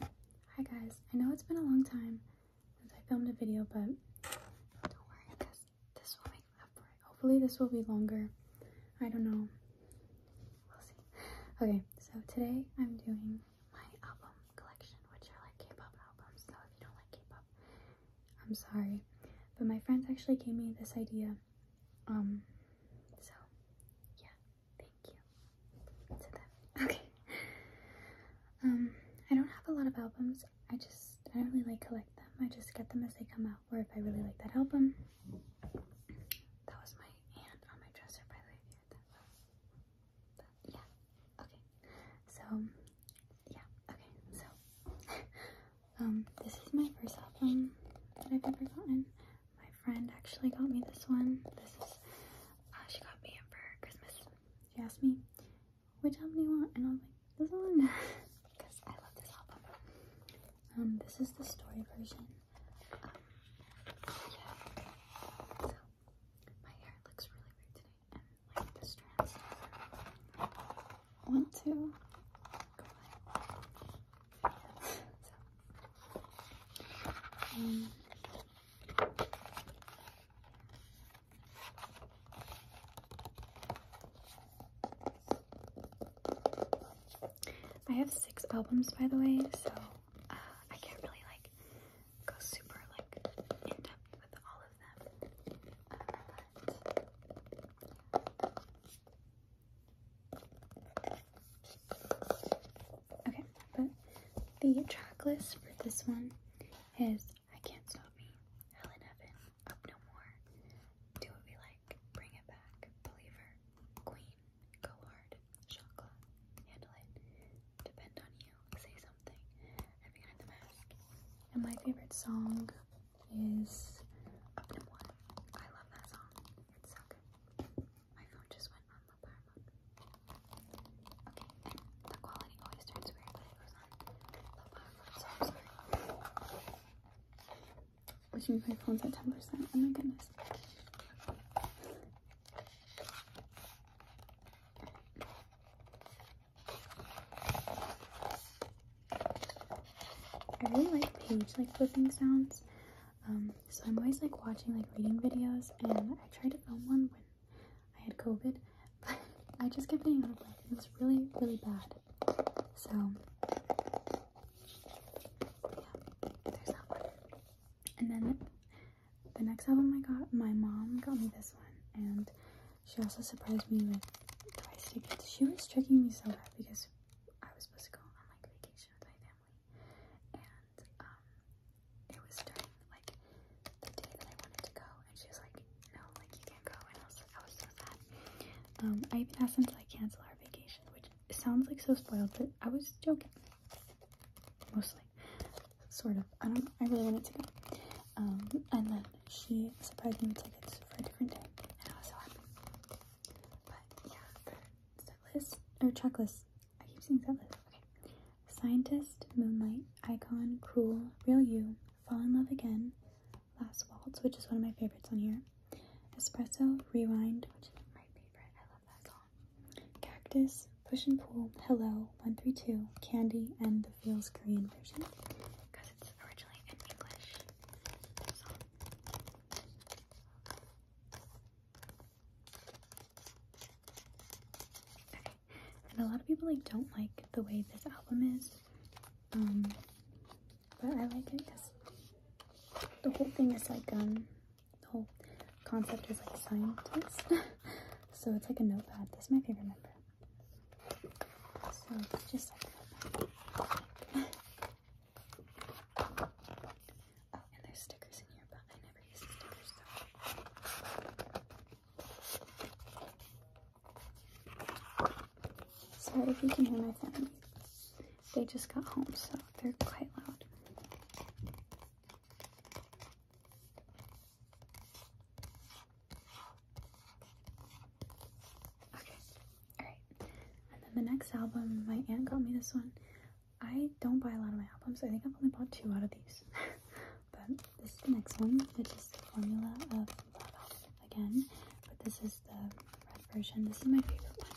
Hi guys, I know it's been a long time since I filmed a video, but don't worry because this will make up for it. Hopefully this will be longer. I don't know. We'll see. Okay, so today I'm doing my album collection, which are like K-pop albums, so if you don't like K-pop, I'm sorry. But my friends actually gave me this idea, um, so yeah, Thank you. Said that. Okay. Um, I don't have a lot of albums. I just I don't really like collect them. I just get them as they come out, or if I really like that album. That was my hand on my dresser, by the way. yeah. Okay. So yeah. Okay. So um, this is my first album that I've ever gotten. My friend actually got me this one. This is, uh, she got me it for Christmas. She asked me, which album do you want? And I am like, this one. because I love this album. Um, this is the story version. Um, yeah. So, my hair looks really weird today. And, like, the strands. One, two. I have six albums, by the way, so uh, I can't really like go super like in depth with all of them. Uh, Okay, but the track list for this one is I Can't Stop Me, Hell in Heaven, Up No More, Do What We Like, Bring It Back, Believer, Queen, Go Hard, Chocolate, Handle It, Depend on You, Say Something, Everything the Mask. And my favorite song is Up No More. I love that song. It's so good. My phone just went on low power mode. Okay, the quality always turns weird when it goes on low power mode, so I'm sorry. Would you my phone's at 10%? Oh my goodness. I really like page like flipping sounds. Um, so I'm always like watching like reading videos, and I tried to film one when I had COVID, but I just kept getting out of breath. It was really, really bad. So yeah, there's that one. And then the next album I got, my mom got me this one, and she also surprised me with twice tickets. She was tricking me so bad because I was supposed to go on like vacation with my family, and um, it was during like the day that I wanted to go, and she was like, "No, like you can't go," and I was like, "I oh, was so sad." Um, I even asked them to like cancel our vacation, which sounds like so spoiled, but I was joking, mostly, sort of. I don't. I really wanted to go. Um, and then she supplied me with tickets for a different day, and I was so happy. But yeah, list or checklist. I keep saying set Okay. Scientist, Moonlight, Icon, Cruel, Real You, Fall in Love Again, Last Waltz, which is one of my favorites on here. Espresso, Rewind, which is my favorite. I love that song. Cactus, Push and Pull, Hello, 132, Candy, and the Feels Korean version. Because it's originally in English. And a lot of people like don't like the way this album is. Um, but I like it because the whole thing is like um the whole concept is like scientist. so it's like a notepad. This is my favorite number. So just oh, and there's stickers in here, but I never use the stickers Sorry if you can hear my family. They just got home, so they're quite loud. Okay, Alright, and then the next album, my aunt got me this one. I don't buy a lot of my albums. I think I've only bought two out of these. but this is the next one, which is the Formula of Love again. But this is the red version. This is my favorite one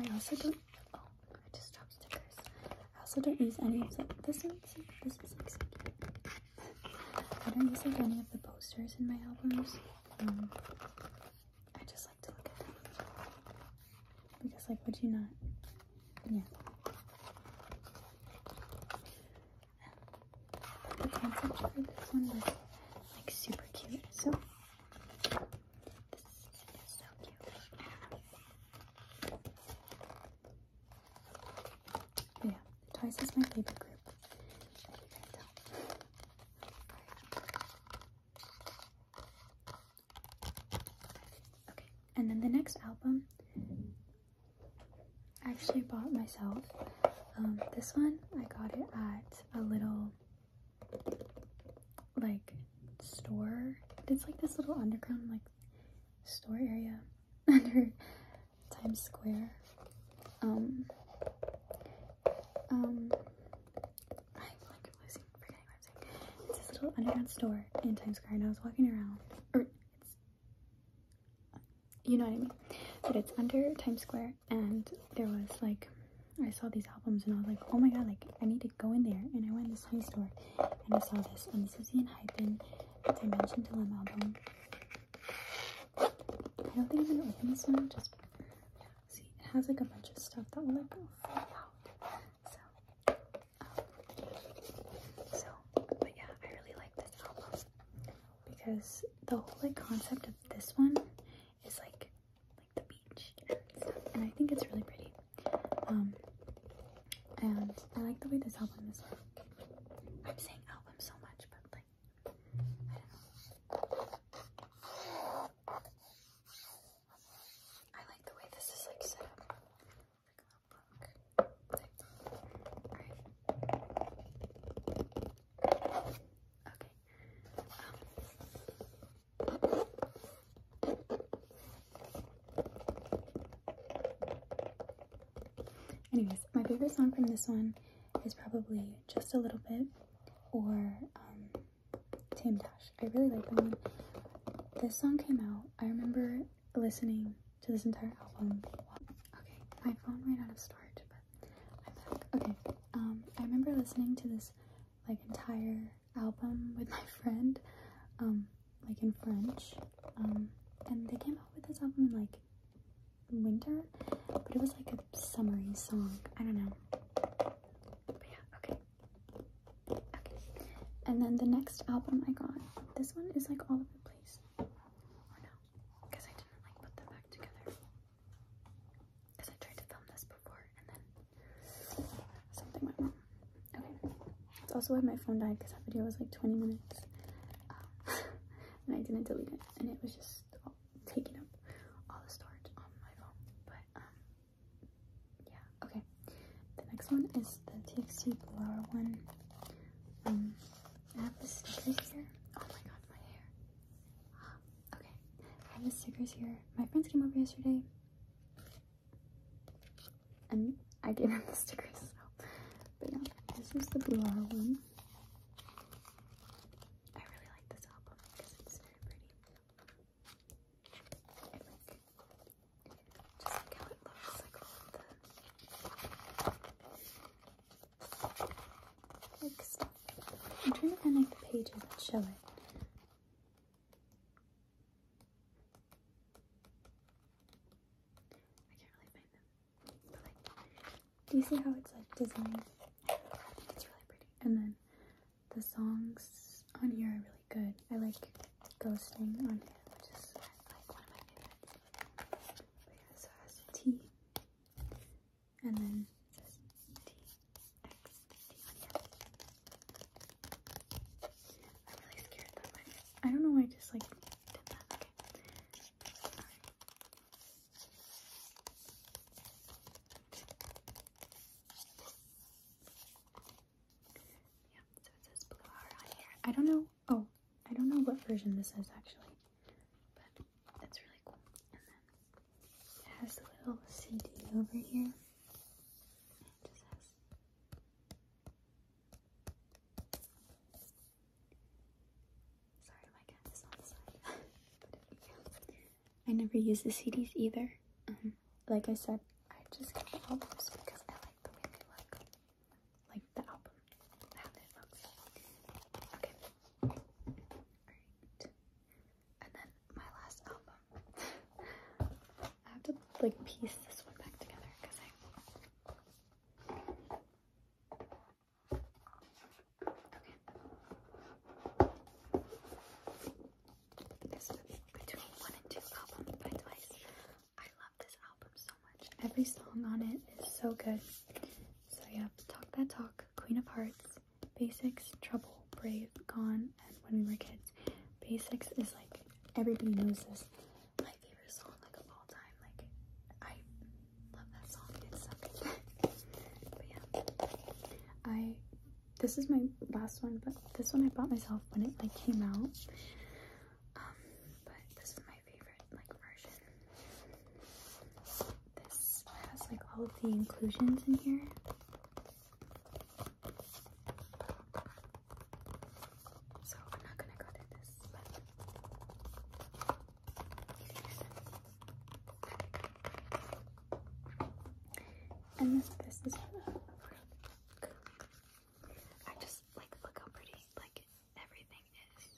i also don't. Oh, I just dropped stickers. I also don't use any of the. This one, see, this is like I don't use any of the posters in my albums. Um, I just like to look at them because, like, would you not? Yeah the handsome for this one was like super cute. So this is so cute. yeah, twice is my favorite group. Okay, and then the next album I actually bought myself um, this one. I got it at a little like store. It's like this little underground like store area under Times Square. Um, um, I'm like losing, forgetting what I'm saying. It's this little underground store in Times Square, and I was walking around, or it's you know what I mean. But it's under Times Square, and there was like, I saw these albums, and I was like, oh my god, like I need to go in there. And I went in this tiny store, and I saw this, and this is the Hyphen Dimension Dilemma album. I don't think I'm gonna open this one. Just see, it has like a bunch of stuff that will like fall out. Um, so, but yeah, I really like this album because the whole like concept of this one is like like the beach and I think it's really pretty. Um, and I like the way this album is. Like, I'm saying album so much, but like I don't know. I like the way this is like set up. Anyways, my favorite song from this one is probably Just a Little Bit or um, Tame I really like that one. This song came out, I remember listening to this entire album. Okay, my phone ran out of storage, but I'm back. Okay, um, I remember listening to this like entire album with my friend, um, like in French, um, and they came out with this album in like winter, but it was like a summery song. I don't know. But yeah, okay. Okay. And then the next album I got, this one is like all over the place these. Oh no, because I didn't like put them back together. Because I tried to film this before and then something went wrong. Okay, it's also why my phone died because that video was like 20 minutes. Um, and I didn't delete it and it was just taking up all the storage on my phone. But um, yeah, okay the next one is the TXT Blur one. Um, I have the stickers here. Oh my god, my hair. Okay, I have the stickers here. My friends came over yesterday, and I gave them the stickers. So, but yeah, this is the Blur one. I really like this album because it's very pretty. I'm trying to find like the pages that show it. I can't really find them. do you see how it's like designed? it's really pretty. And then the songs on here I really good. I like ghosting on him. which like one of my favorites. so has T and then it am really scared that my I don't know why I just like did that. Yeah, so it says blue hour on here. I don't know. Oh, I don't know what version this is actually, but that's really cool. And then it has the little CD over here. Sorry, my cat is on the side. I never use the CDs either. Um, like I said, I just got the albums because I like the way they look. Like the album, how it looks. Okay. Alright. And then my last album. I have to like piece this one back together because I Okay between one and two albums by Twice. I love this album so much. Every song on it is so good. So yeah, Talk That Talk, Queen of Hearts, Basics, Trouble, Brave, Gone, and When We Were Kids. Basics is like, everybody knows this. My favorite song like of all time. Like, I love that song. It's so good. but yeah, I this is my last one, but this one I bought myself when it like came out. Um, but this is my favorite like version. This has like all of the inclusions in here. So I'm not gonna go through this, and this, this is a book. I just like look how pretty like everything is.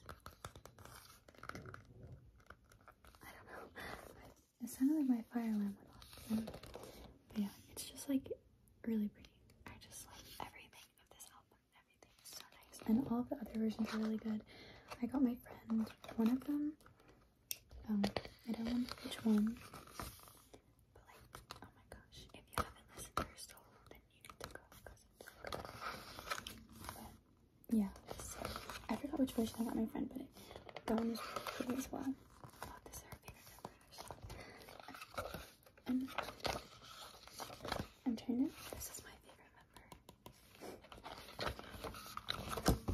I don't know. It sounded like my fire alarm But yeah, it's just like really pretty. I just like everything of this album. Everything is so nice. And all of the other versions are really good. I got my friend one of them. Um, I don't want which one, but like, oh my gosh, if you haven't listened to her solo, then you need to go because it's so good. But yeah, I forgot which version I got my friend, but that one as well. Oh, this is her favorite number I'm, I'm trying to, this is my favorite member.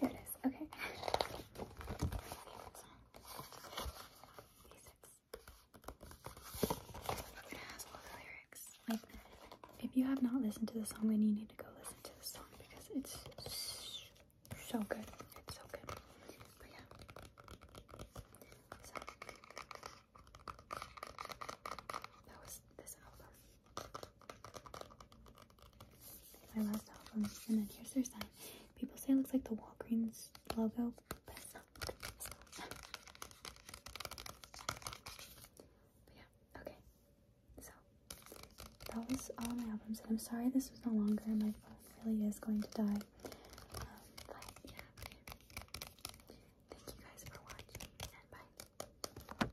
Here it is. Okay. lyrics. if you have not listened to the song, then you need to go listen to the song because it's so good. It's so good. But yeah. that was this album. My last album. And then here's their sign. People say it looks like the Walgreens logo, but it's not. yeah, okay. So that was all my albums, and I'm sorry this was no longer. My phone really is going to die. Um, but yeah, Thank you guys for watching, and bye.